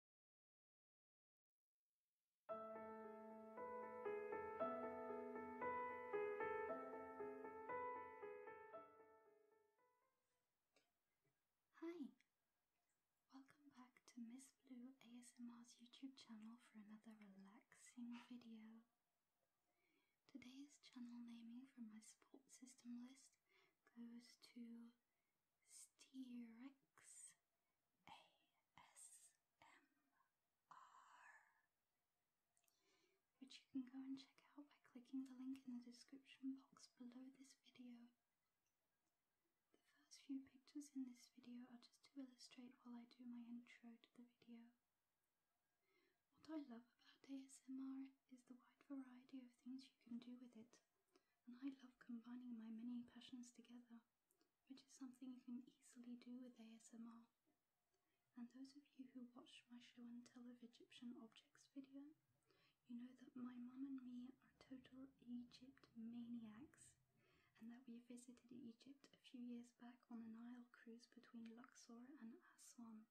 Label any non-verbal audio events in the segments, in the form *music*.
Hi! Welcome back to Miss Blue ASMR's YouTube channel for another relaxing video. Today's channel naming from my support system list goes to Sterex ASMR, which you can go and check out by clicking the link in the description box below this video. The first few pictures in this video are just to illustrate while I do my intro to the video. What I love about ASMR is the wide variety of things you can do with it and I love combining my many passions together, which is something you can easily do with ASMR. And those of you who watched my show and tell of Egyptian objects video, you know that my mum and me are total Egypt maniacs, and that we visited Egypt a few years back on a Nile cruise between Luxor and Aswan.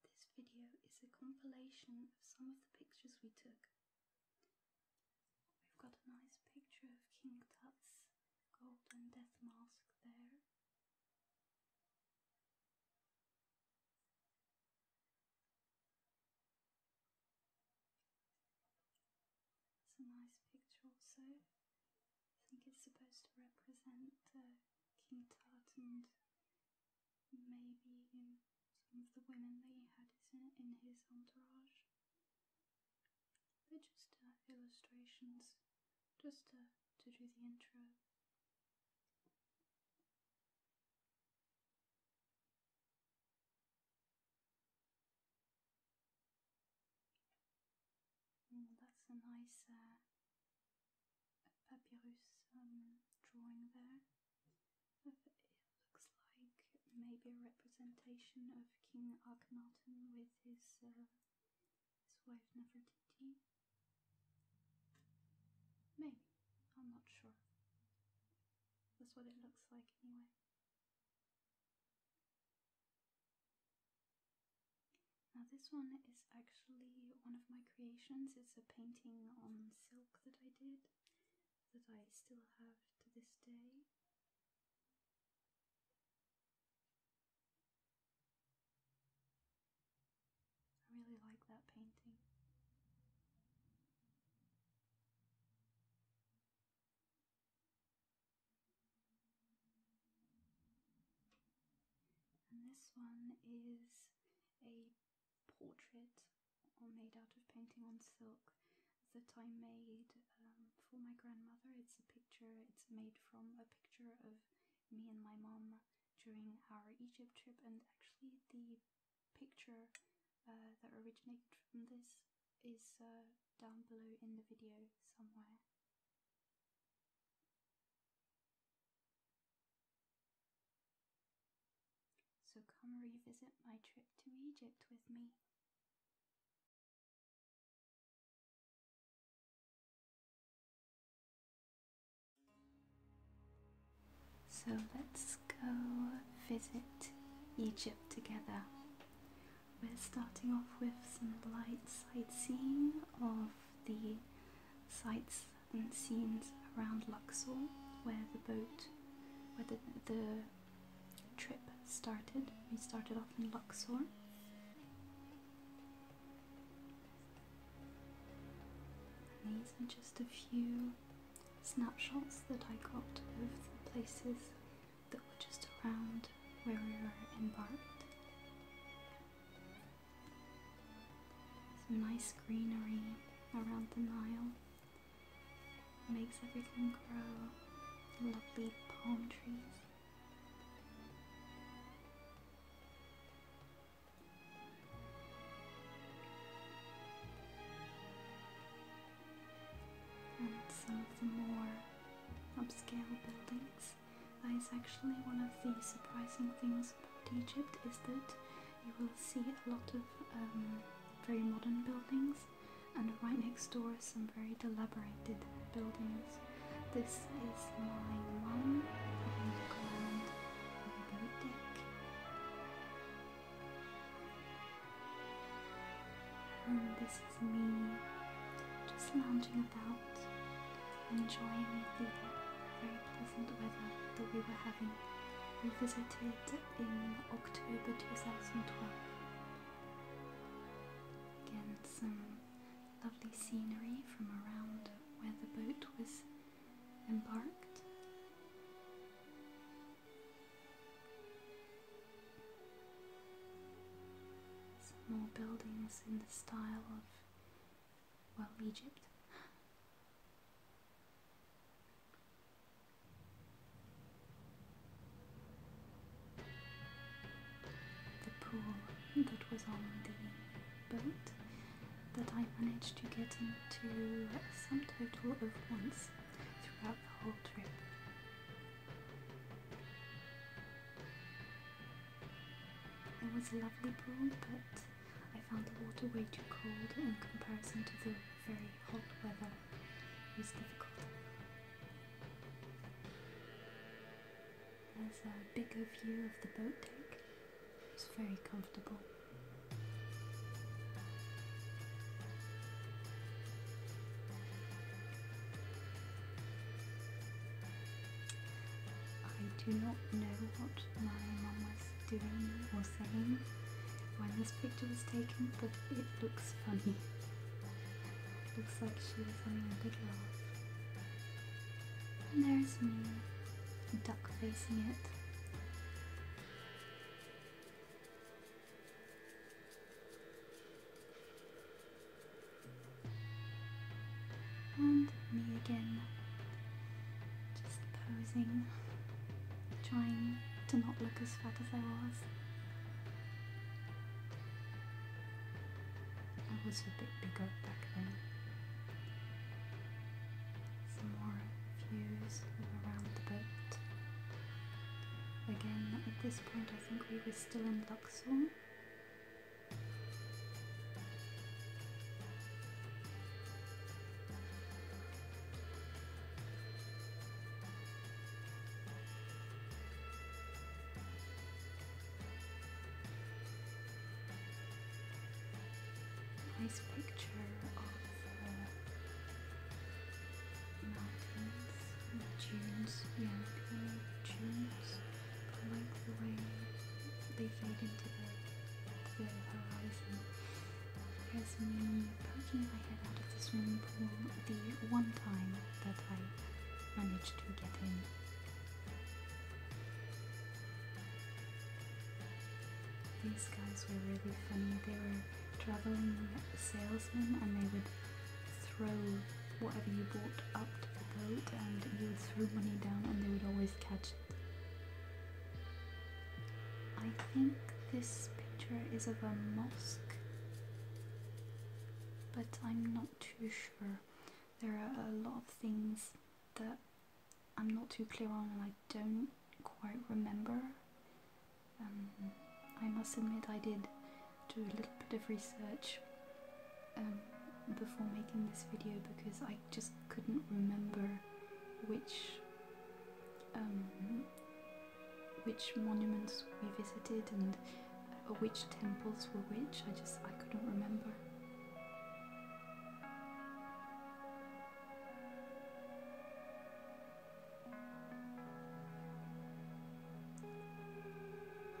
This video is a compilation of some of the pictures we took We've got a nice picture of King Tut's golden death mask there. It's a nice picture also. I think it's supposed to represent uh, King Tut and maybe in some of the women that he had in, in his entourage. They're just uh, illustrations, just to, do the intro. Mm, that's a nice uh, papyrus um, drawing there. It looks like maybe a representation of King Akhenaten with his uh, his wife Nefertiti. Maybe I'm not sure. That's what it looks like anyway. Now this one is actually one of my creations. It's a painting on silk that I did that I still have to this day. I really like that painting. And this one is a portrait or made out of painting on silk that I made um, for my grandmother. It's a picture, it's made from a picture of me and my mom during our Egypt trip, and actually, the picture uh, that originated from this is uh, down below in the video somewhere. So come revisit my trip to Egypt with me. So let's go visit Egypt together. We're starting off with some light sightseeing of the sights and scenes around Luxor, where the boat, where the, the trip started. We started off in Luxor. these are just a few snapshots that I got of the places that were just around where we were embarked. Some nice greenery around the Nile makes everything grow. Lovely palm trees. some of the more upscale buildings. That is actually one of the surprising things about Egypt is that you will see a lot of um, very modern buildings and right next door is some very elaborated buildings. This is my one of Indigo Island River Deck. And this is me just lounging about, enjoying the very pleasant weather that we were having. We visited in October 2012. Again, some lovely scenery from around where the boat was embarked. Some more buildings in the style of, well, Egypt. The pool that was on the boat that I managed to get into a sum total of once throughout the whole trip. It was a lovely pool, but I found the water way too cold in comparison to the very hot weather it was difficult. As a bigger view of the boat deck, it's very comfortable. I do not know what my mum was doing or saying when this picture was taken, but it looks funny. Looks like she was having a good laugh. And there's me, duck facing it. And me again, just posing, trying to not look as fat as I was. I was a bit bigger back then. Some more views around the boat. Again, at this point I think we were still in Luxor. Nice picture of the mountains, the dunes, yeah, I like the way they fade into the, the horizon. It has poking my head out of the swimming pool the one time that I managed to get in. These guys were really funny. They were traveling salesmen and they would throw whatever you bought up to the boat and you would throw money down and they would always catch it. I think this picture is of a mosque but I'm not too sure. There are a lot of things that I'm not too clear on and I don't quite remember. Um, I must admit I did do a little bit of research um, before making this video because I just couldn't remember which um, which monuments we visited and uh, which temples were which. I just I couldn't remember.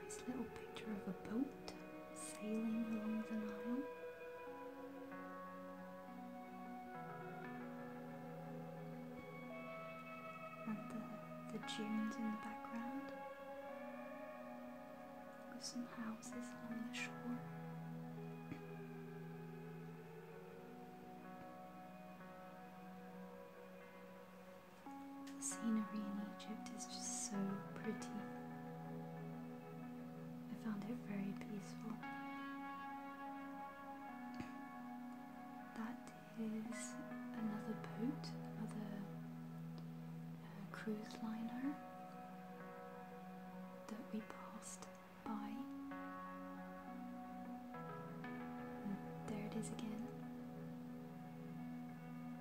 Nice little picture of a boat sailing along the Nile and the, the dunes in the background with some houses along the shore. The scenery in Egypt is just so pretty. I found it very peaceful. That is another boat, another uh, cruise liner that we passed by. there it is again.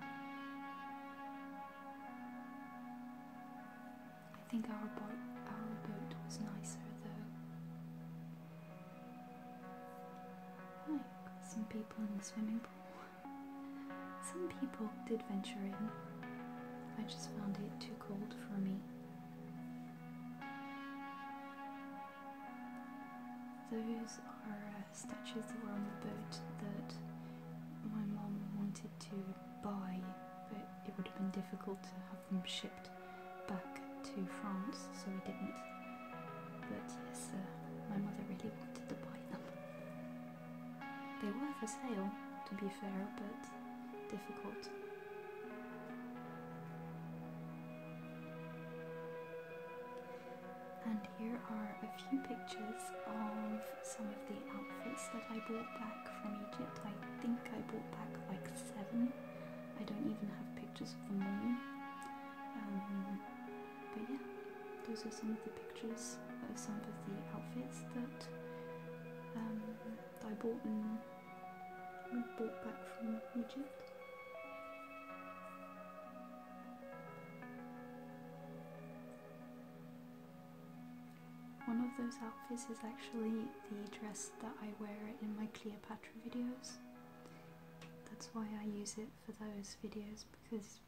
I think our boat, our boat was nicer though some people in the swimming pool. Some people did venture in. I just found it too cold for me. Those are uh, statues that were on the boat that my mum wanted to buy, but it would have been difficult to have them shipped back to France, so we didn't. But yes, uh, my mother really wanted to buy them. They were for sale, to be fair, but difficult. And here are a few pictures of some of the outfits that I brought back from Egypt. I think I brought back like seven. I don't even have pictures of the moon. Um, but yeah, those are some of the pictures of some of the outfits that um, I bought and bought back from Egypt. One of those outfits is actually the dress that I wear in my Cleopatra videos. That's why I use it for those videos because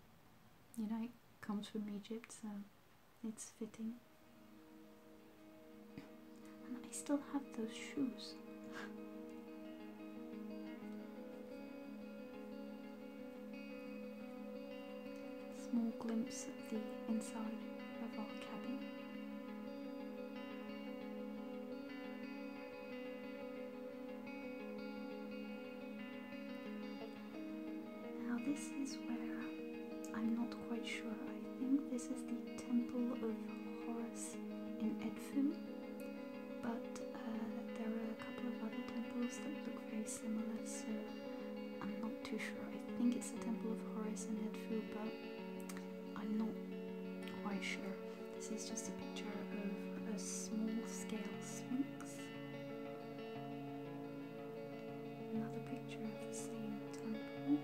you know it comes from Egypt so it's fitting. I still have those shoes. Small glimpse of the inside of our cabin. Now, this is where I'm not quite sure. I think this is the Temple of Horus in Edfu, but uh, there are a couple of other temples that look very similar, so I'm not too sure. I think it's the Temple of Horus in Edfu, but I'm not quite sure. This is just a picture of a small-scale sphinx. Another picture of the same temple.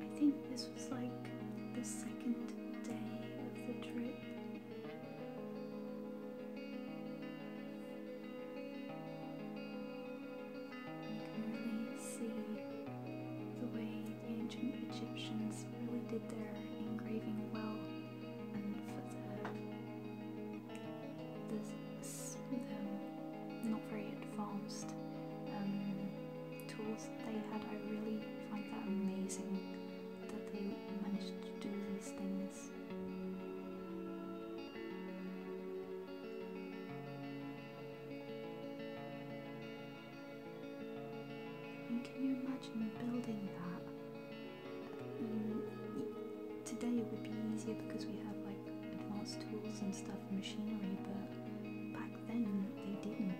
I think this was like the second day of the trip really see the way the ancient Egyptians really did their engraving well and for the, the not very advanced um, tools they had I really find that amazing that they managed to do these things. can you imagine building that? Mm, today it would be easier because we have like advanced tools and stuff, machinery, but back then they didn't.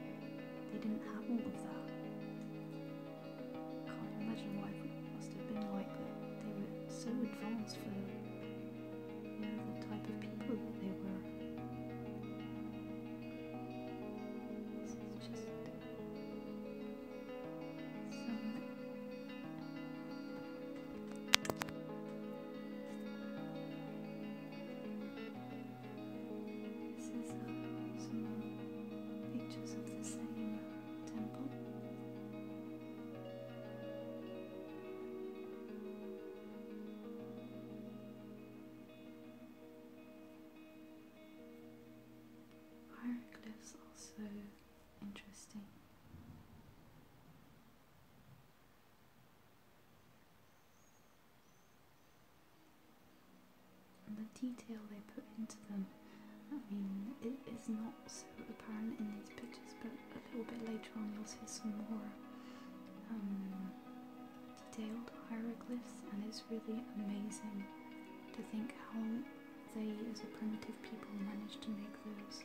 They didn't have all of that. Can't imagine why it must have been like, that. they were so advanced for you know, the type of people that they were. This is just some this is some pictures of the same temple. Hieroglyphs also interesting and the detail they put into them. I mean, it is not so apparent in these pictures, but a little bit later on you'll see some more um, detailed hieroglyphs, and it's really amazing to think how they, as a primitive people, managed to make those.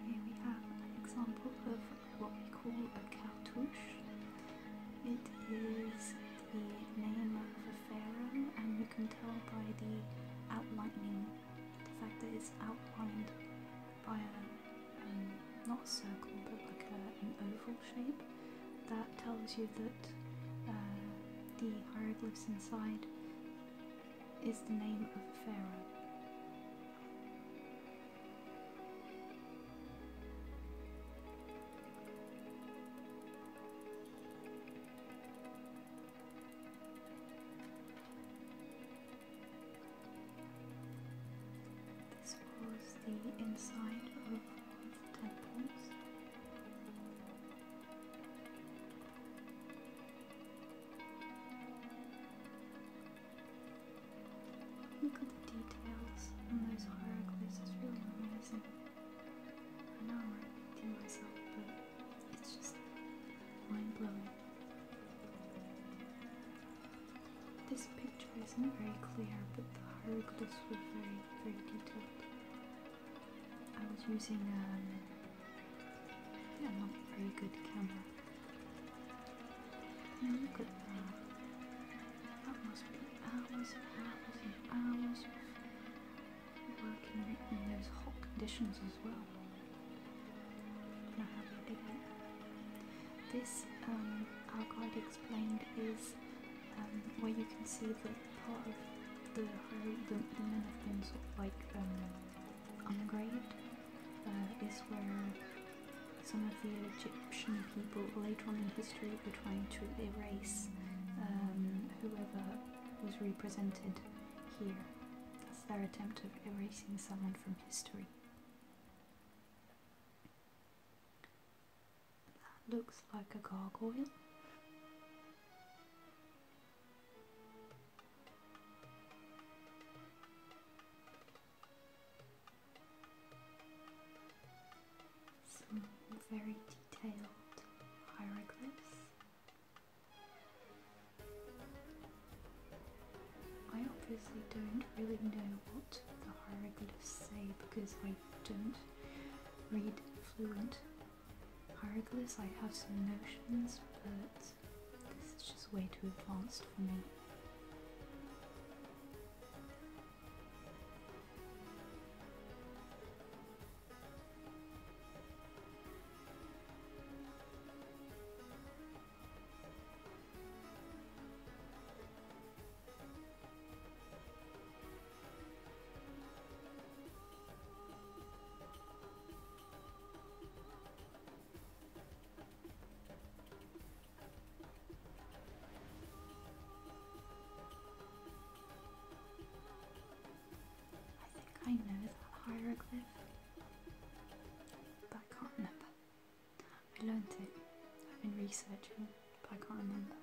Here we have an example of what we call a cartouche. It is the name of a pharaoh, and you can tell by the outlining, the fact that it's outlined by a um, not a circle but like an oval shape. That tells you that uh, the hieroglyphs inside is the name of a pharaoh. This was the inside of the temples. Look at the details on those hieroglyphs, it's really amazing. I know I'm repeating myself, but it's just mind blowing. This picture isn't very clear, but the hieroglyphs were very, very detailed. I was using um, yeah, I'm not a very good camera. And look at that. That must be hours and hours and hours of working in those hot conditions as well. Now how big This, um, our guide explained, is um, where you can see the part of the, the, the men have been sort of like um, ungraved. Uh, is where some of the Egyptian people later on in history were trying to erase um, whoever was represented here. That's their attempt of erasing someone from history. That looks like a gargoyle. Some very detailed hieroglyphs. I obviously don't really know what the hieroglyphs say because I don't read fluent hieroglyphs. I have some notions, but this is just way too advanced for me. I think I know that hieroglyph, but I can't remember. I learned it. I've been researching, but I can't remember.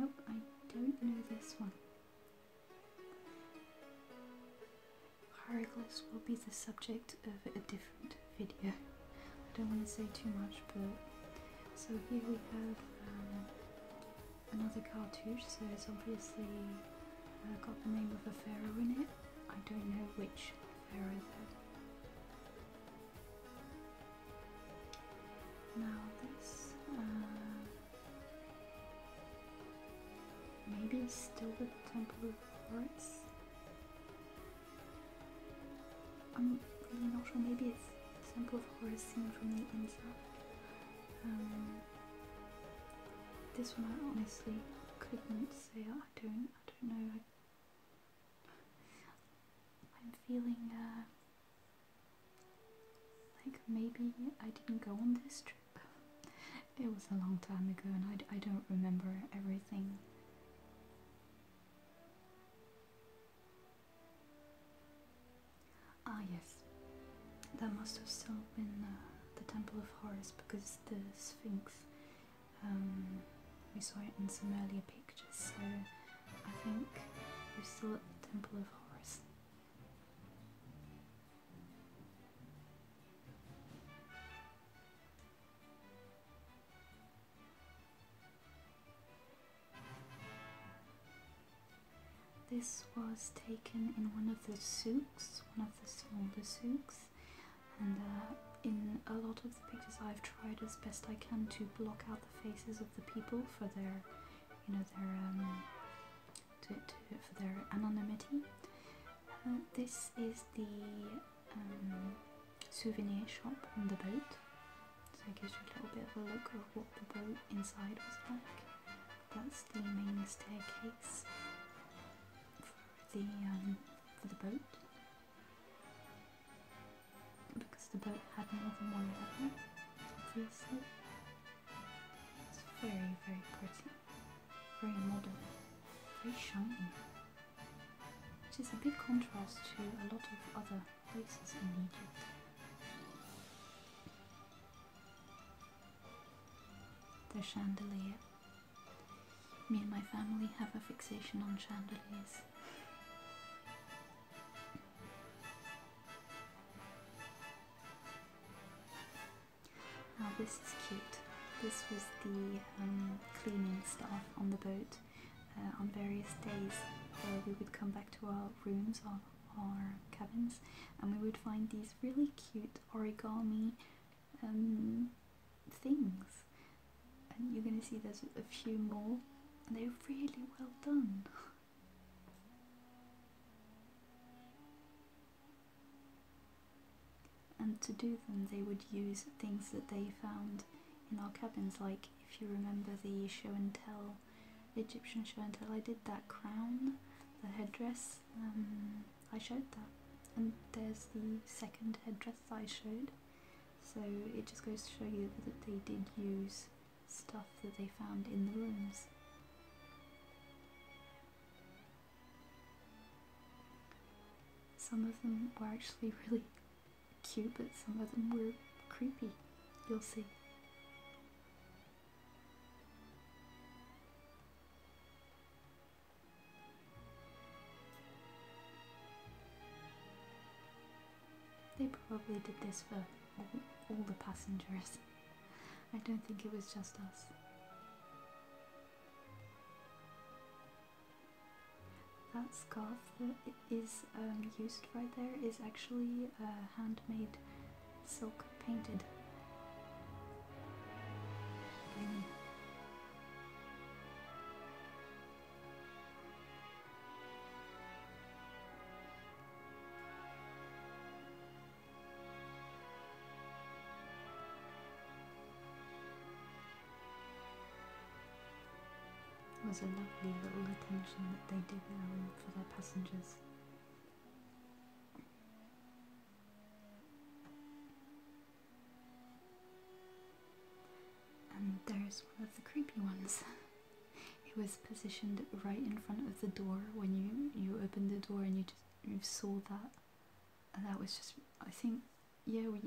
Nope, I don't know this one hieroglyphs will be the subject of a different video. I don't want to say too much, but so here we have um, another cartouche, so it's obviously uh, got the name of a pharaoh in it. I don't know which pharaoh though. Now this. Uh, Maybe it's still the Temple of Quartz? I'm not sure, maybe it's Temple of Horus seen from the inside. Um, this one I honestly couldn't say, I don't, I don't know. I, am feeling uh, like maybe I didn't go on this trip it was a long time ago and I, I don't remember everything. Ah, yes, that must have still been uh, the Temple of Horus because the Sphinx, um, we saw it in some earlier pictures, so I think we're still the Temple of Horus. This was taken in one of the souks, one of the smaller souks, and uh, in a lot of the pictures I've tried as best I can to block out the faces of the people for their, you know, their um, for their anonymity. Uh, this is the um, souvenir shop on the boat, so it gives you a little bit of a look of what the boat inside was like. That's the main staircase for the, um, for the boat, because the boat had more than one level, obviously. It's very, very pretty very modern, very shiny, It is a big contrast to a lot of other places in Egypt. The chandelier. Me and my family have a fixation on chandeliers. Now this is cute. This was the um, cleaning staff on the boat uh, on various days where we would come back to our rooms or our cabins and we would find these really cute origami um, things. And you're going to see there's a few more and they're really well done. *laughs* And to do them, they would use things that they found in our cabins, like if you remember the show and tell, the Egyptian show and tell, I did that crown, the headdress, um, I showed that. And there's the second headdress I showed. So it just goes to show you that they did use stuff that they found in the rooms. Some of them were actually *laughs* really cute, but some of them were creepy. You'll see. They probably did this for all, the passengers. *laughs* I don't think it was just us. That scarf that is um, used right there is actually uh, handmade silk painted. It was a lovely little attention that they did um, for their passengers. And there's one of the creepy ones. it was positioned right in front of the door when you you opened the door and you just you saw that and that was just I think yeah we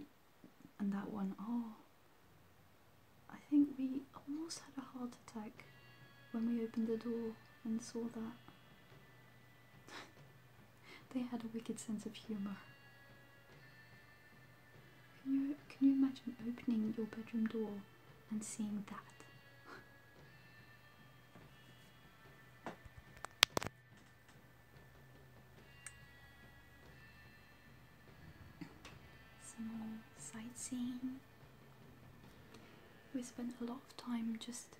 and that one oh I think we almost had a heart attack when we opened the door and saw that. *laughs* they had a wicked sense of humour. Can you, can you imagine opening your bedroom door and seeing that? *laughs* Some sightseeing. We spent a lot of time just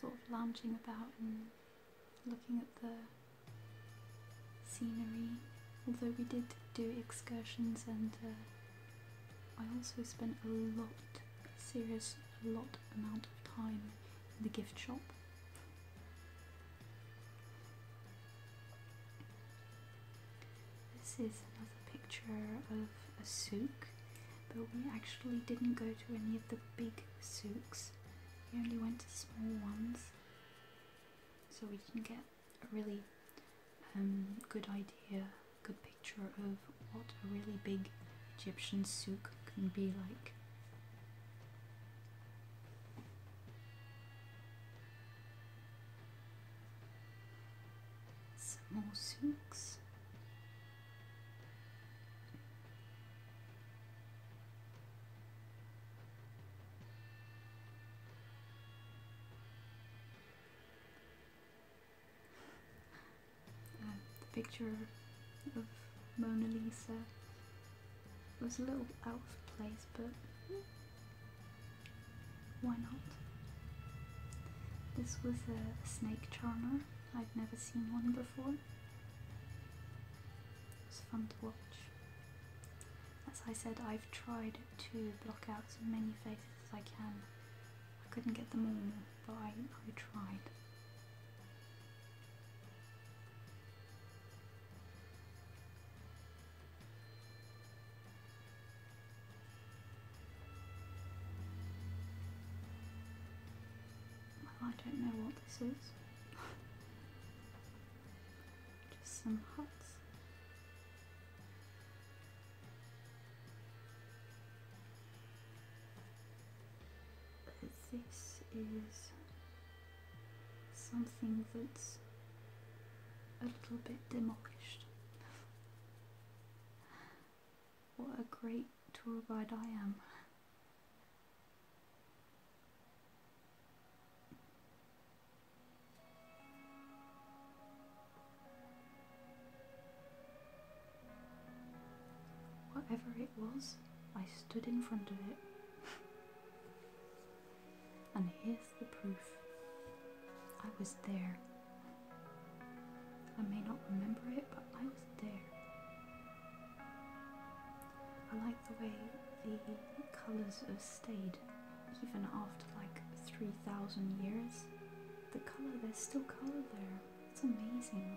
sort of lounging about and looking at the scenery. Although we did do excursions and uh, I also spent a lot, serious, a lot amount of time in the gift shop this is another picture of a souk, but we actually didn't go to any of the big souks. We only went to small ones, so we didn't get a really um, good idea, good picture of what a really big Egyptian souk can be like. Some more the picture of Mona Lisa was a little out of place, but why not? This was a snake charmer. I've never seen one before. It was fun to watch. As I said, I've tried to block out as many faces as I can. I couldn't get them all, but I tried. I don't know what this is. Just some huts this is something that's a little bit demolished. what a great tour guide I am. Whatever was, I stood in front of it. and here's the proof I was there. I may not remember it, but I was there. I like the way the colours have stayed even after like 3,000 years. The colour, there's still colour there. It's amazing.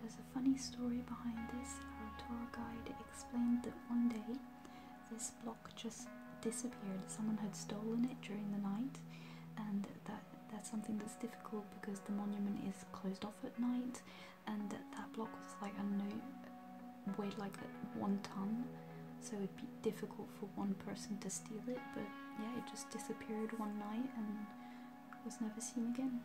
There's a funny story behind this. Our tour guide explained that one day this block just disappeared. Someone had stolen it during the night, and that that's something that's difficult because the monument is closed off at night, and that block was like I don't know, weighed like one ton, so it'd be difficult for one person to steal it. But yeah, it just disappeared one night and was never seen again.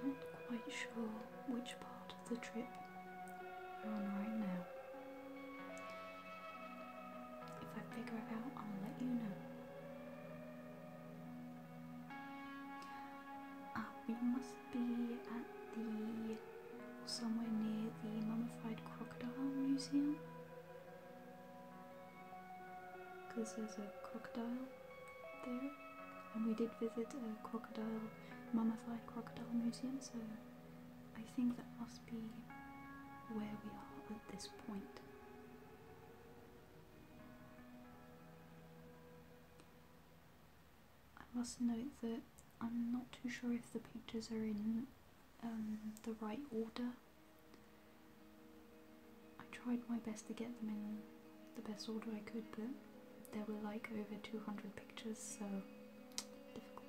I'm not quite sure which part of the trip we're on right now. If I figure it out, I'll let you know. Uh, we must be at the somewhere near the mummified crocodile museum. Because there's a crocodile there, and we did visit a crocodile, mummified crocodile museum, so I think that must be where we are at this point. I must note that I'm not too sure if the pictures are in um, the right order. I tried my best to get them in the best order I could, but there were like over 200 pictures, so difficult.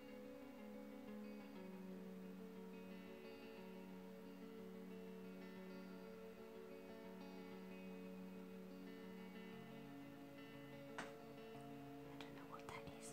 I don't know what that is.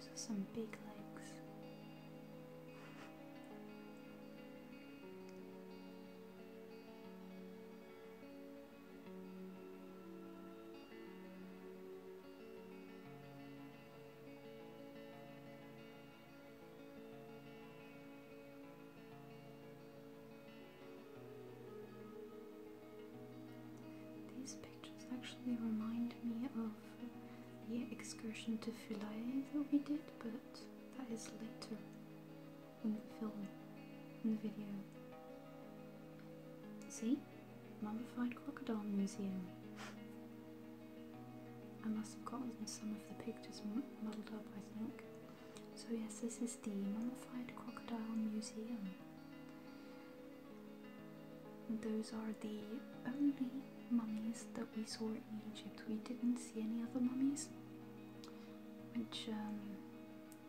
So some big legs. These just actually remind me of the excursion to Philae that we did, but that is later in the film, in the video. See? Mummified Crocodile Museum. I must have gotten some of the pictures muddled up, I think. So yes, this is the Mummified Crocodile Museum. Those are the only mummies that we saw in Egypt. We didn't see any other mummies, which um,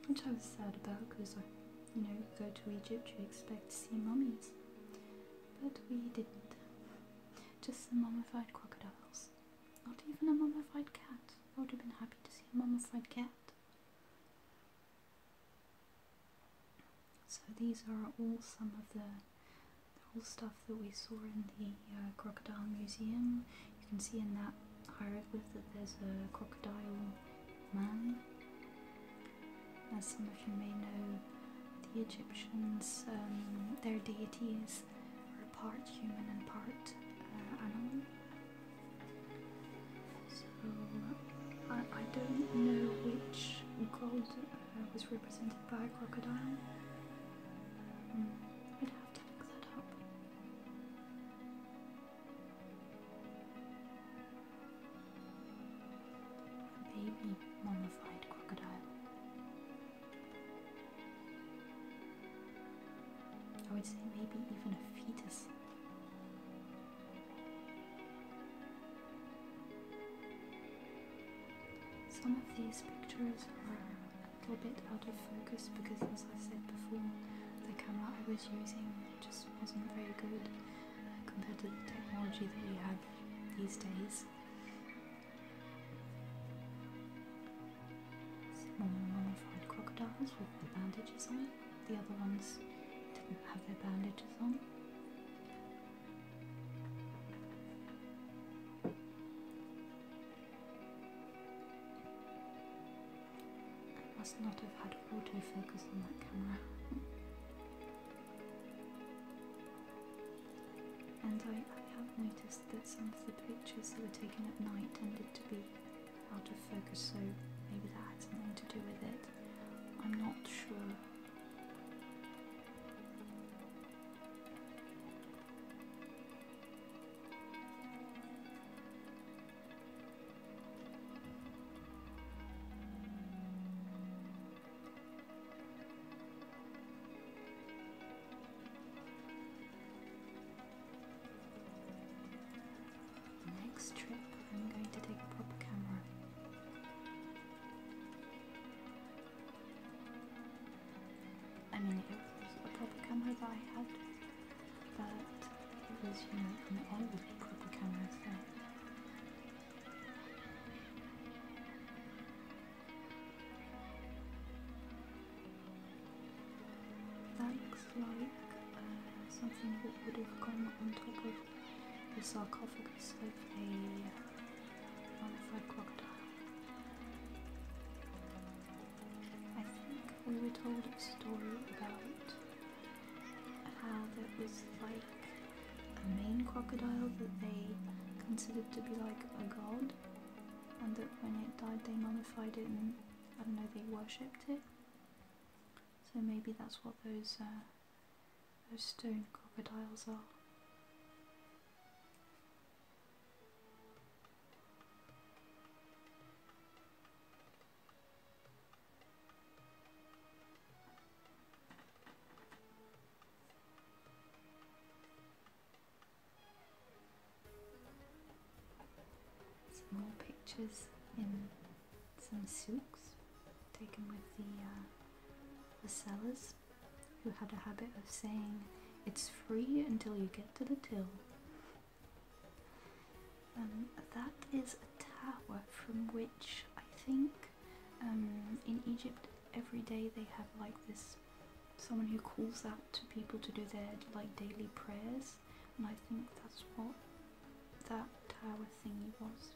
which I was sad about because you know, you go to Egypt, you expect to see mummies, but we didn't. Just some mummified crocodiles. Not even a mummified cat. I would have been happy to see a mummified cat. So these are all some of the all stuff that we saw in the uh, crocodile museum. You can see in that hieroglyph that there's a crocodile man. As some of you may know, the Egyptians, um, their deities were part human and part uh, animal. So I, I don't know which god uh, was represented by a crocodile. Hmm. I'd have to look that up. A baby mummified crocodile. I would say maybe even a fetus. Some of these pictures are a little bit out of focus because, as I said before, the camera I was using just wasn't very good uh, compared to the technology that we have these days. Some were mummified crocodiles with their bandages on, the other ones didn't have their bandages on. I must not have had autofocus on that camera. and I, have noticed that some of the pictures that were taken at night tended to be out of focus, so maybe that had something to do with it. I'm not sure next trip, I'm going to take proper camera. I mean, it was a proper camera that I had, but it was, you know, an old proper camera, so. That looks like uh, something that would have gone on top of the sarcophagus of a I think we were told a story about how there was like a main crocodile that they considered to be like a god, and that when it died, they mummified it and I don't know, they worshipped it. So maybe that's what those uh, those stone crocodiles are. Some more pictures in some silks taken with the, uh, who had a habit of saying, It's free until you get to the till. And um, that is a tower from which I think um, in Egypt every day they have like this someone who calls out to people to do their like daily prayers, and I think that's what that tower thingy was.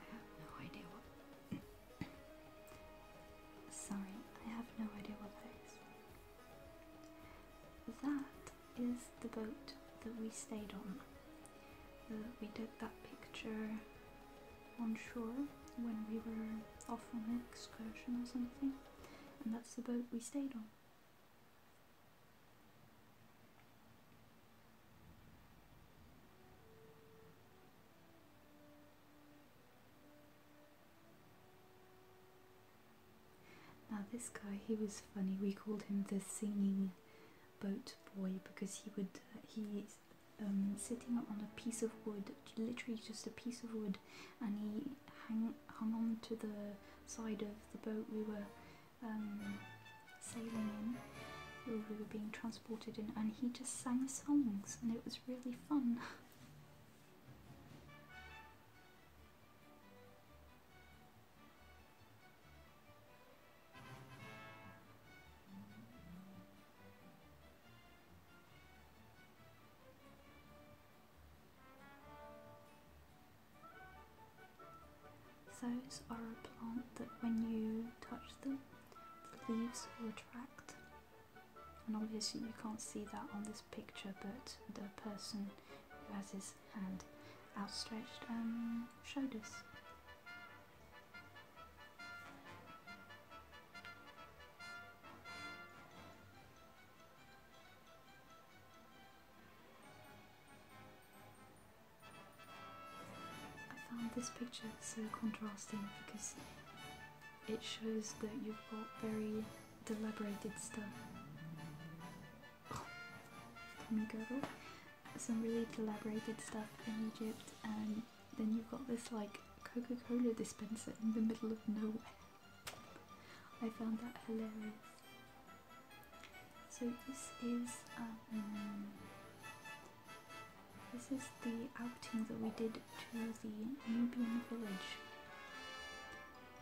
I have no idea what. *coughs* Sorry, I have no idea what that is. That is the boat that we stayed on. Uh, we took that picture on shore when we were off on an excursion or something, and that's the boat we stayed on. Now this guy, he was funny. We called him the singing boat boy because he would uh, he um, sitting on a piece of wood, literally just a piece of wood, and he hung hung on to the side of the boat we were um, sailing in, we were being transported in, and he just sang songs, and it was really fun. *laughs* Those are a plant that when you touch them, the leaves will attract. And obviously, you can't see that on this picture, but the person who has his hand outstretched um, showed us. I found this picture so contrasting because it shows that you've got very deliberated stuff. Some really deliberated stuff in Egypt, and then you've got this like Coca Cola dispenser in the middle of nowhere. I found that hilarious. So this is um, this is the outing that we did to the Nubian village,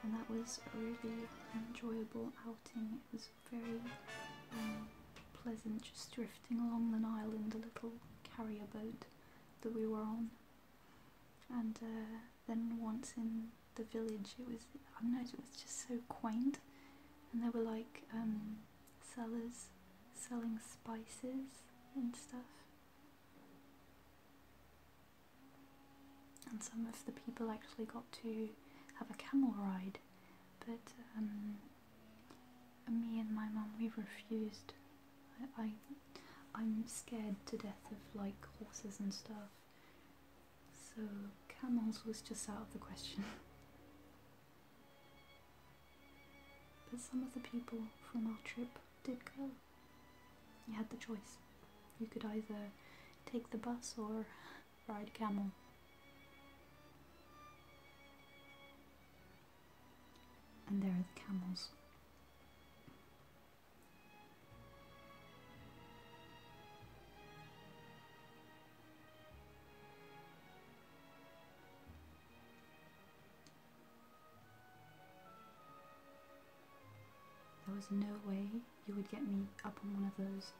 and that was a really enjoyable outing. It was very um, pleasant, just drifting along the Nile in the little carrier boat that we were on. And uh, then once in the village, it was I don't know, it was just so quaint, and there were like um, sellers selling spices and stuff. And some of the people actually got to have a camel ride, but um, me and my mum we refused. I I'm scared to death of like horses and stuff, so camels was just out of the question. *laughs* But some of the people from our trip did go. You had the choice. You could either take the bus or ride camel. And there are the camels. There was no way you would get me up on one of those.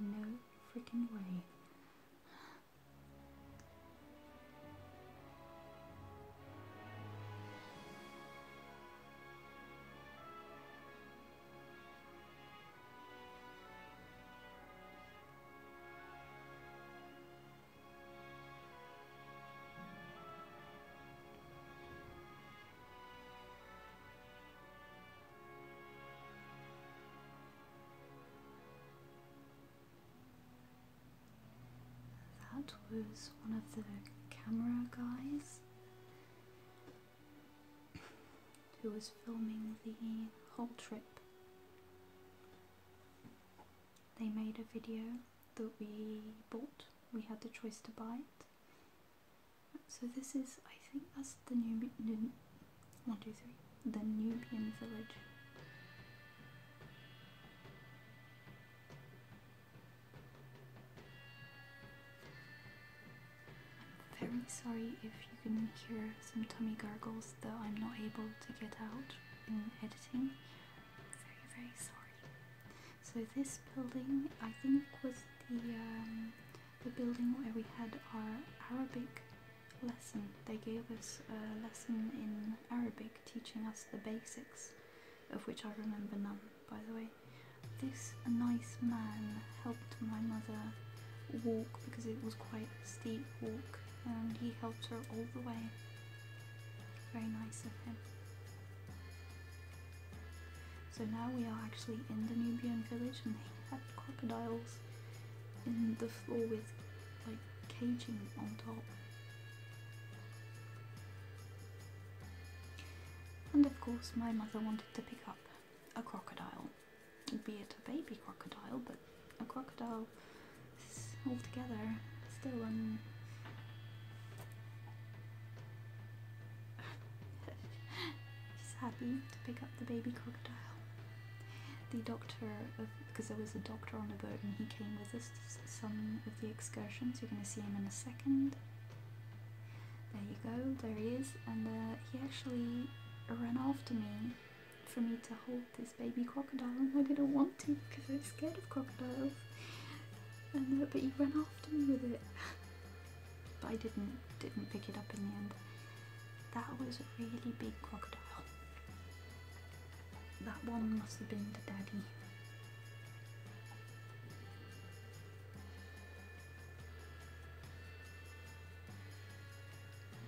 No freaking way. That was one of the camera guys who was filming the whole trip. They made a video that we bought, we had the choice to buy it. So this is, I think that's the new, one, two, three, the Nubian village. I'm very sorry if you can hear some tummy gargles that I'm not able to get out in editing. Very, very sorry. So this building, I think, was the um, the building where we had our Arabic lesson. They gave us a lesson in Arabic, teaching us the basics, of which I remember none, by the way. This nice man helped my mother walk because it was quite steep walk and he helped her all the way. Very nice of him. So now we are actually in the Nubian village and they have crocodiles in the floor with like caging on top. And of course my mother wanted to pick up a crocodile be it a baby crocodile, but a crocodile is altogether still an. She's happy to pick up the baby crocodile. The doctor, because there was a doctor on the boat and he came with us some of the excursions. You're going to see him in a second. There you go, there he is, and uh, he actually ran after me for me to hold this baby crocodile, and I didn't want to because I was scared of crocodiles. but you ran after me with it, but I didn't didn't pick it up in the end. That was a really big crocodile. That one must have been the Daddy.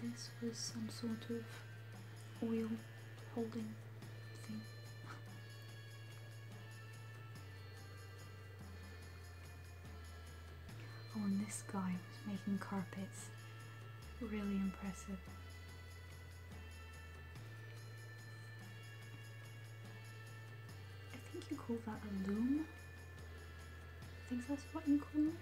This was some sort of oil holding thing. *laughs* oh, and this guy was making carpets. Really impressive. I think you call that a loom. I think that's what you call it.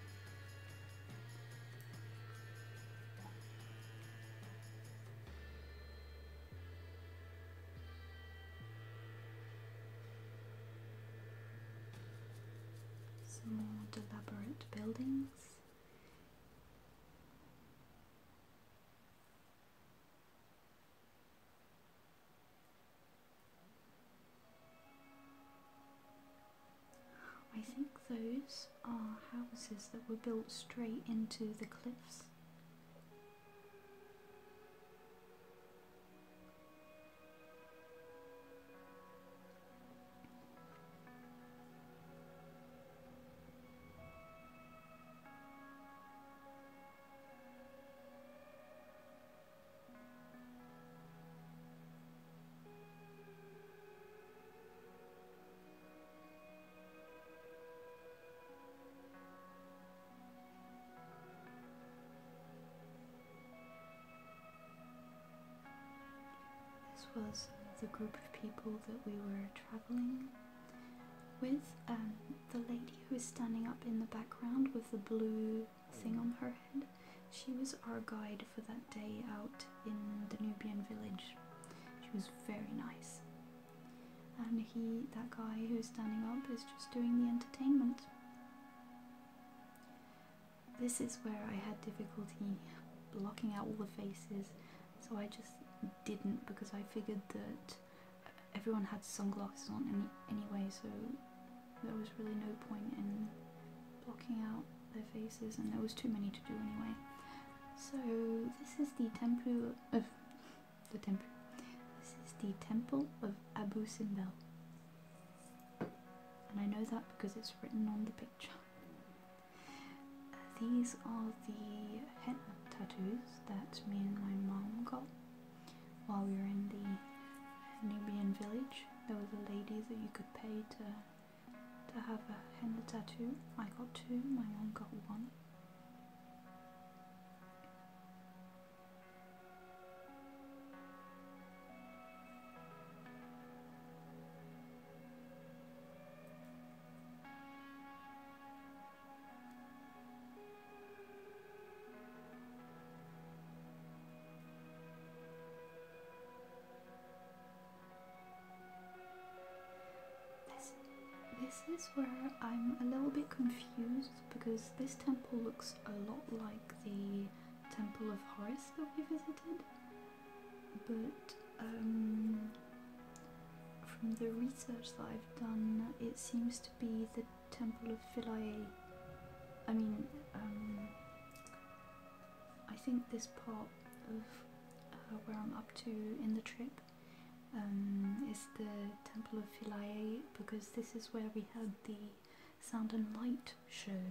Some elaborate buildings. I think those are houses that were built straight into the cliffs. This was the group of people that we were travelling with. Um, the lady who is standing up in the background with the blue thing on her head she was our guide for that day out in the Nubian village. She was very nice. And he, that guy who's standing up, is just doing the entertainment. This is where I had difficulty blocking out all the faces, so I just didn't because I figured that everyone had sunglasses on anyway, so there was really no point in blocking out their faces, and there was too many to do anyway. So this is the temple of the temple. This is the temple of Abu Simbel, and I know that because it's written on the picture. these are the henna tattoos that me and my mom got while we were in the Nubian village. There was a lady that you could pay to to have a henna tattoo. I got two, my mom got one. This, is where I'm a little bit confused because this temple looks a lot like the Temple of Horus that we visited, but um, from the research that I've done, it seems to be the Temple of Philae. I mean, um, I think this part of uh, where I'm up to in the trip um, is the Temple of Philae because this is where we had the Sound and Light show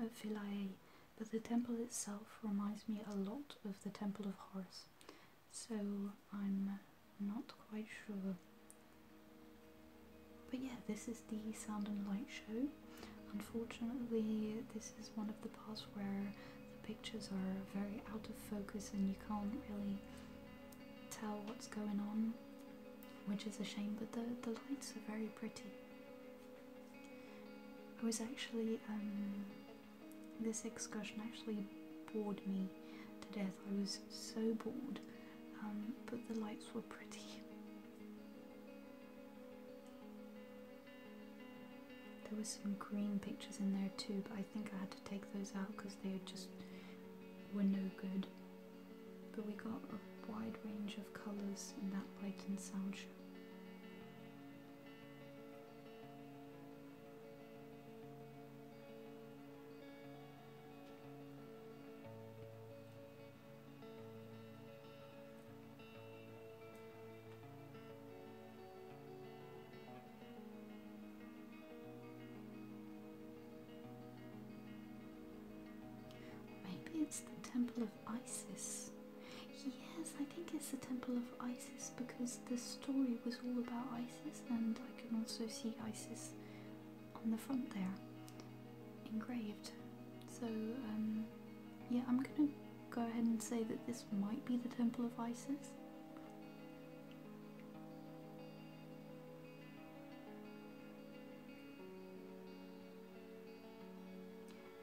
at Philae but the temple itself reminds me a lot of the Temple of Horus so I'm not quite sure. But yeah, this is the Sound and Light show Unfortunately, this is one of the parts where the pictures are very out of focus and you can't really tell what's going on, which is a shame, but the, the lights are very pretty. I was actually, um, this excursion actually bored me to death. I was so bored, um, but the lights were pretty. There were some green pictures in there too, but I think I had to take those out because they just were no good. But we got a wide range of colours in that light and sound show. Maybe it's the Temple of Isis. Yes, I think it's the Temple of Isis because the story was all about Isis, and I can also see Isis on the front there engraved. So, um, yeah, I'm gonna go ahead and say that this might be the Temple of Isis.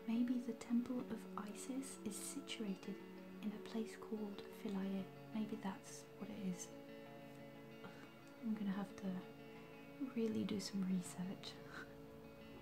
Maybe the Temple of Isis is situated in a place called Philae. Maybe that's what it is. I'm gonna have to really do some research. *laughs*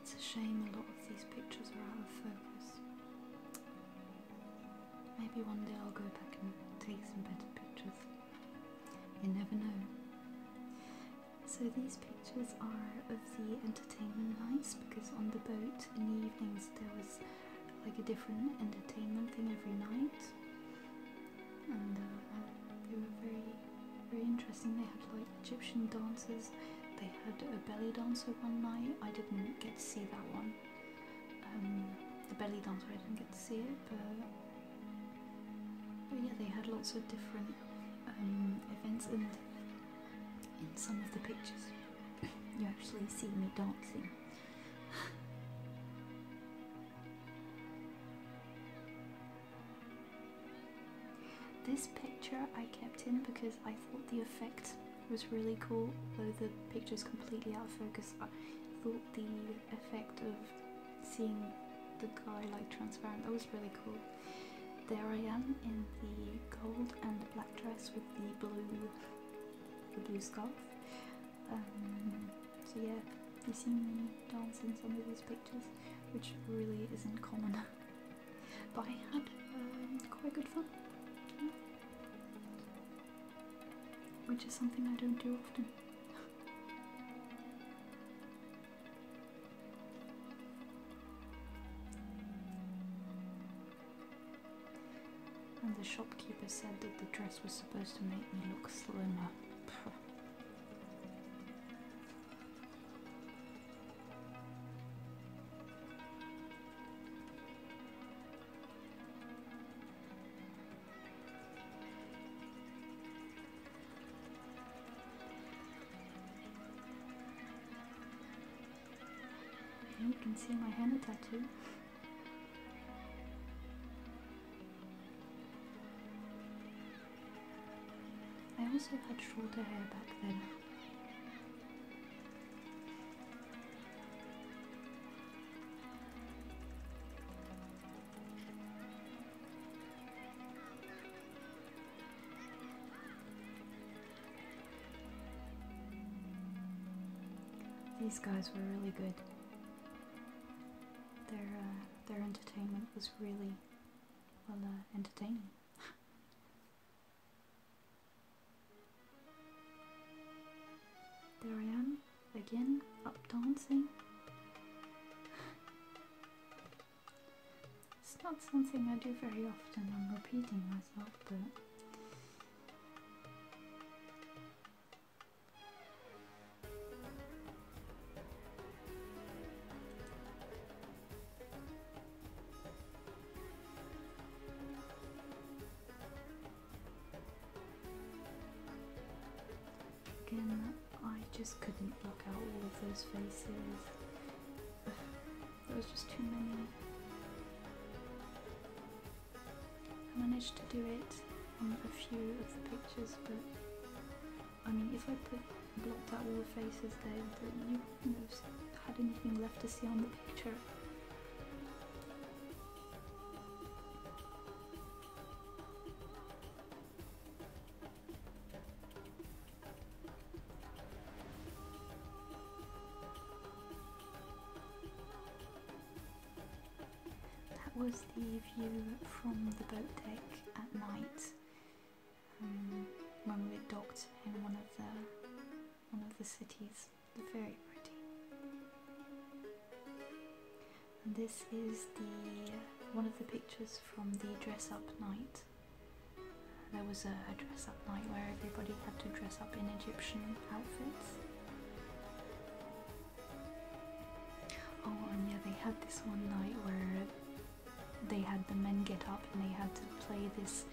It's a shame a lot of these pictures are out of focus. Maybe one day I'll go back and take some better pictures. You never know. So these pictures are of the entertainment nights because on the boat in the evenings there was like a different entertainment thing every night and uh, they were very, very interesting. They had like Egyptian dancers. They had a belly dancer one night. I didn't get to see that one. Um, the belly dancer, I didn't get to see it, but, yeah, they had lots of different um, events, and in some of the pictures, you actually see me dancing. This picture I kept in because I thought the effect was really cool, though the picture is completely out of focus. I thought the effect of seeing the guy like transparent, that was really cool. There I am in the gold and black dress with the blue, the blue scarf. Um, so yeah, you see me dancing some of these pictures which really isn't common. *laughs* but I had um, quite good fun, which is something I don't do often. *laughs* and the shopkeeper said that the dress was supposed to make me look slimmer. *laughs* You can see my henna tattoo. I also had shorter hair back then. These guys were really good. Their uh, their entertainment was really well uh, entertaining. *laughs* there I am again, up dancing. *sighs* it's not something I do very often. I'm repeating myself, but. Again, I just couldn't block out all of those faces. *sighs* There was just too many. I managed to do it on a few of the pictures, but I mean, if I put, blocked out all the faces there, then you wouldn't have had anything left to see on the picture. That was the view from the boat deck at night. Mm, when we docked in one of the one of the cities. very pretty. And this is the one of the pictures from the dress up night. There was a dress up night where everybody had to dress up in Egyptian outfits. Oh, and yeah, they had this one night where they had the men get up and they had to play this.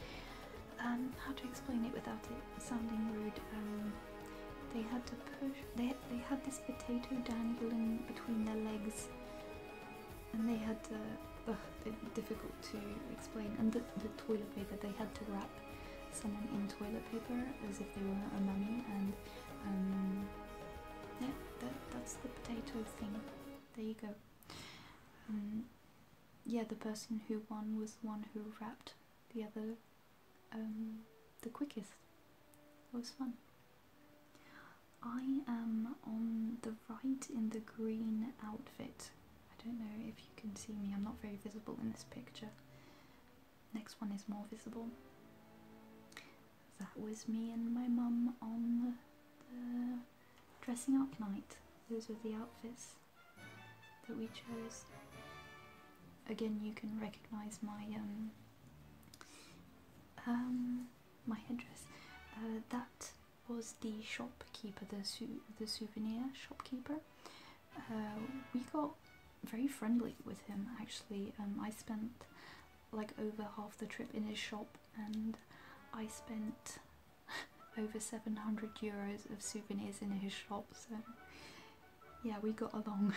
Um, how to explain it without it sounding rude? Um, they had to push. They they had this potato dangling between their legs, and they had to. difficult to explain. And the, toilet paper. that They had to wrap someone in toilet paper as if they were a mummy. And um, that that's the potato thing there you go. Um, yeah, the person who won was the one who wrapped the other um, the quickest. It was fun. I am on the right in the green outfit. I don't know if you can see me, I'm not very visible in this picture. Next one is more visible that was me and my mum on the, dressing up night. Those were the outfits that we chose. Again, you can recognise my um, um, my headdress. Uh, that was the shopkeeper, the sou the souvenir shopkeeper. Uh, we got very friendly with him actually. Um, I spent like over half the trip in his shop and I spent *laughs* over 700 euros of souvenirs in his shop so yeah we got along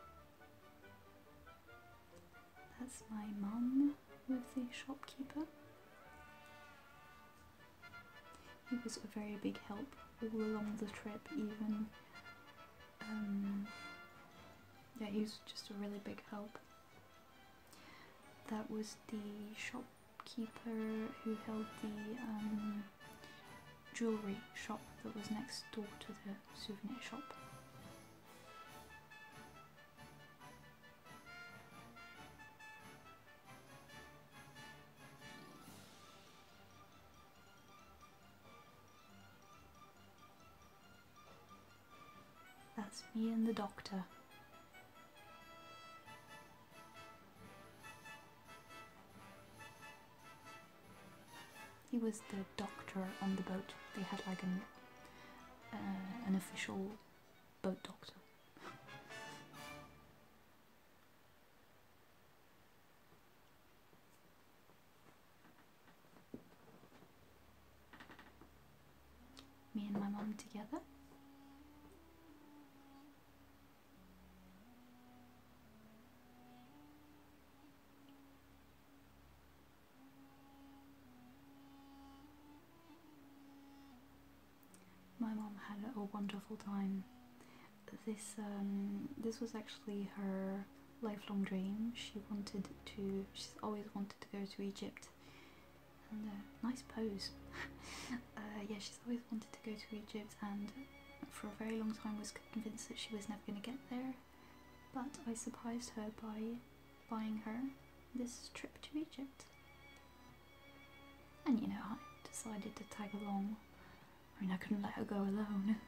*laughs* that's my mum with the shopkeeper he was a very big help all along the trip even um, yeah, he was just a really big help. That was the shopkeeper who held the um, jewellery shop that was next door to the souvenir shop. That's me and the doctor. He was the doctor on the boat. They had like an uh, an official boat doctor. Me and my mom together. My mom had a wonderful time. This um, this was actually her lifelong dream. She wanted to, she's always wanted to go to Egypt. And uh, nice pose. *laughs* Uh, yeah, she's always wanted to go to Egypt and for a very long time was convinced that she was never going to get there. But I surprised her by buying her this trip to Egypt. And you know, I decided to tag along. I mean, I couldn't let her go alone. *laughs*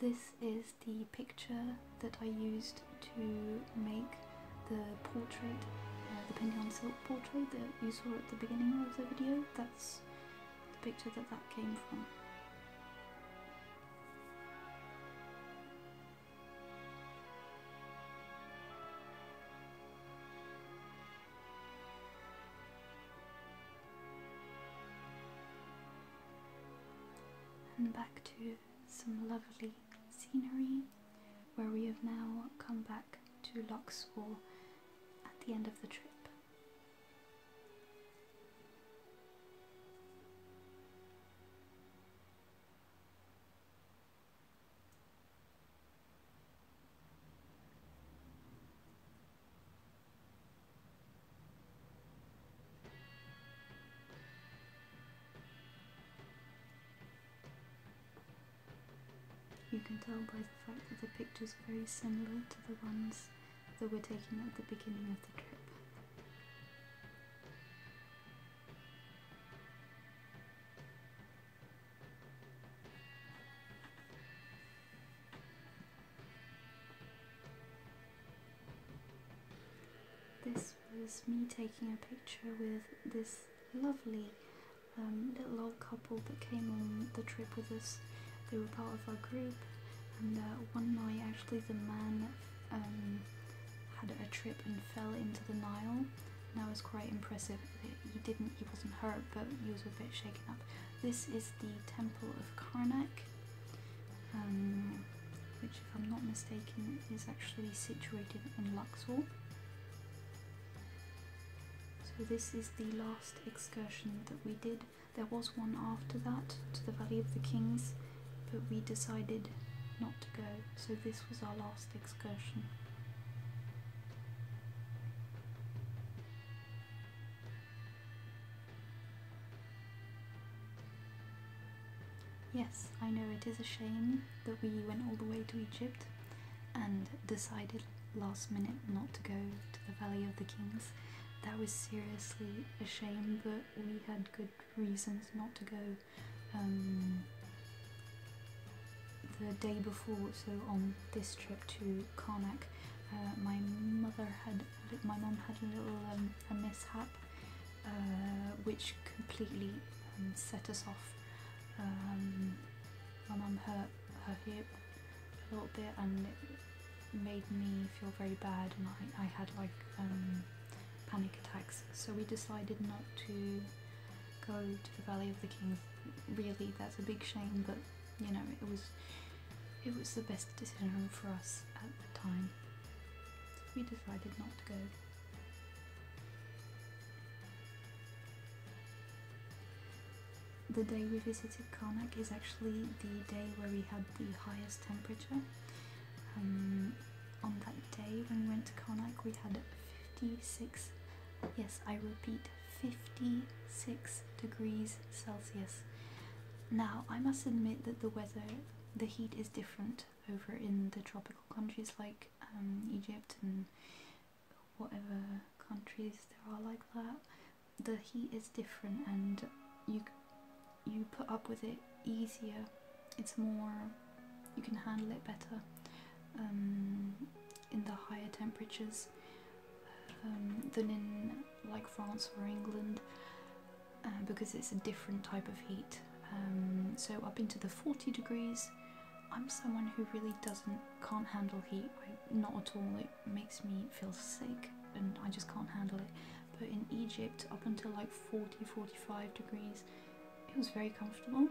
This is the picture that I used to make the portrait, uh, the Pignon Silk portrait that you saw at the beginning of the video, that's the picture that that came from. And back to some lovely scenery where we have now come back to Luxor at the end of the trip. You can tell by the fact that the pictures are very similar to the ones that were taken at the beginning of the trip. This was me taking a picture with this lovely um, little old couple that came on the trip with us. They were part of our group, and uh, one night actually the man um, had a trip and fell into the Nile. And that was quite impressive. He didn't, he wasn't hurt, but he was a bit shaken up. This is the Temple of Karnak, um, which, if I'm not mistaken, is actually situated in Luxor. So this is the last excursion that we did. There was one after that to the Valley of the Kings, but we decided not to go. So this was our last excursion. Yes, I know it is a shame that we went all the way to Egypt, and decided last minute not to go to the Valley of the Kings. That was seriously a shame, but we had good reasons not to go um, the day before. So on this trip to Karnak, uh, my mother had my mom had a little um, mishap, uh, which completely um, set us off my mum hurt her hip a little bit and it made me feel very bad and I, I had like um, panic attacks so we decided not to go to the Valley of the Kings really that's a big shame but you know it was it was the best decision for us at the time we decided not to go the day we visited Karnak is actually the day where we had the highest temperature. Um, on that day when we went to Karnak, we had 56, yes, I repeat, 56 degrees Celsius. Now, I must admit that the weather, the heat is different over in the tropical countries like um, Egypt and whatever countries there are like that, the heat is different and you you put up with it easier. It's more you can handle it better um, in the higher temperatures um, than in like France or England uh, because it's a different type of heat. Um, so up into the 40 degrees I'm someone who really doesn't can't handle heat. not at all. It makes me feel sick, and I just can't handle it. But in Egypt, up until like 40, 45 degrees, it was very comfortable.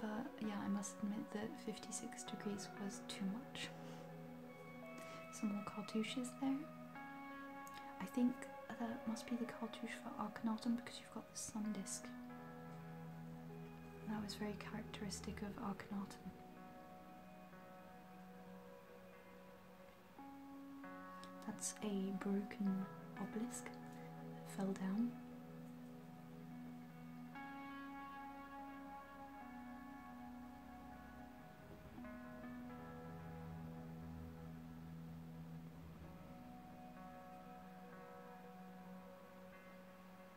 But yeah, I must admit that 56 degrees was too much. Some more cartouches there. I think that must be the cartouche for Akhenaten because you've got the sun disk that was very characteristic of Akhenaten. That's a broken obelisk that fell down.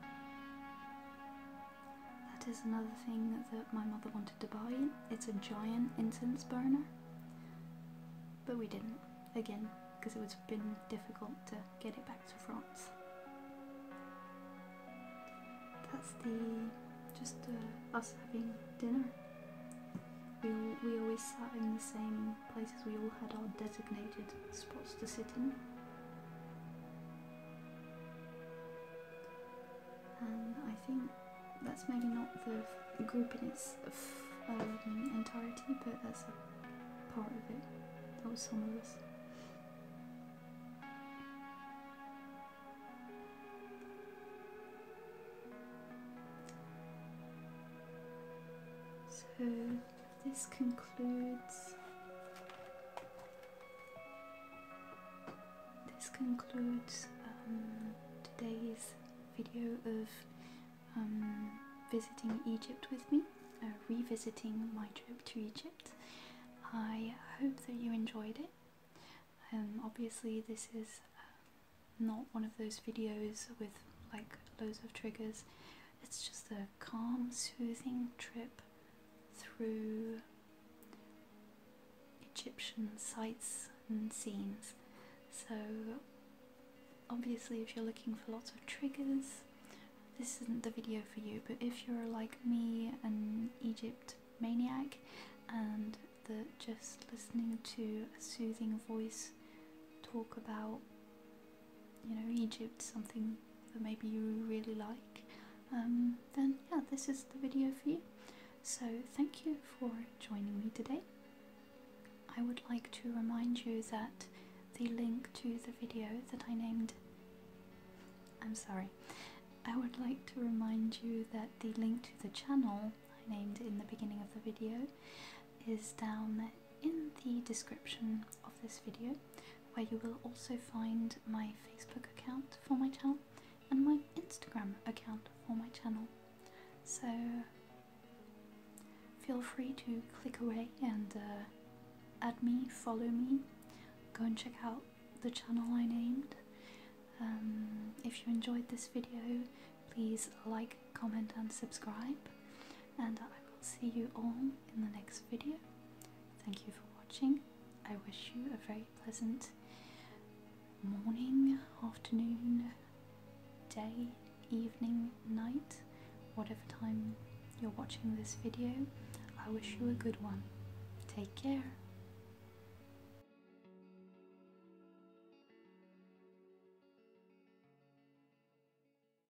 That is another thing that my mother wanted to buy. It's a giant incense burner, but we didn't, again, because it would have been difficult to get it back to France. That's the just uh, us having dinner. We, we always sat in the same places we all had our designated spots to sit in. And I think that's maybe not the group in its um, entirety, but that's a part of it. That was some of us. So this concludes this concludes um, today's video of um, visiting Egypt with me, uh, revisiting my trip to Egypt. I hope that you enjoyed it. Um, obviously this is uh, not one of those videos with like loads of triggers it's just a calm, soothing trip through Egyptian sites and scenes. So, obviously, if you're looking for lots of triggers, this isn't the video for you, but if you're like me, an Egypt maniac, and that just listening to a soothing voice talk about you know Egypt, something that maybe you really like, um, then yeah, this is the video for you. So thank you for joining me today. I would like to remind you that the link to the video that I named. I'm sorry. I would like to remind you that the link to the channel I named in the beginning of the video is down there in the description of this video, where you will also find my Facebook account for my channel and my Instagram account for my channel. So feel free to click away and uh, add me, follow me, go and check out the channel I named. Um, if you enjoyed this video, please like, comment, and subscribe, and I will see you all in the next video. Thank you for watching. I wish you a very pleasant morning, afternoon, day, evening, night, whatever time you're watching this video. I wish you a good one. Take care.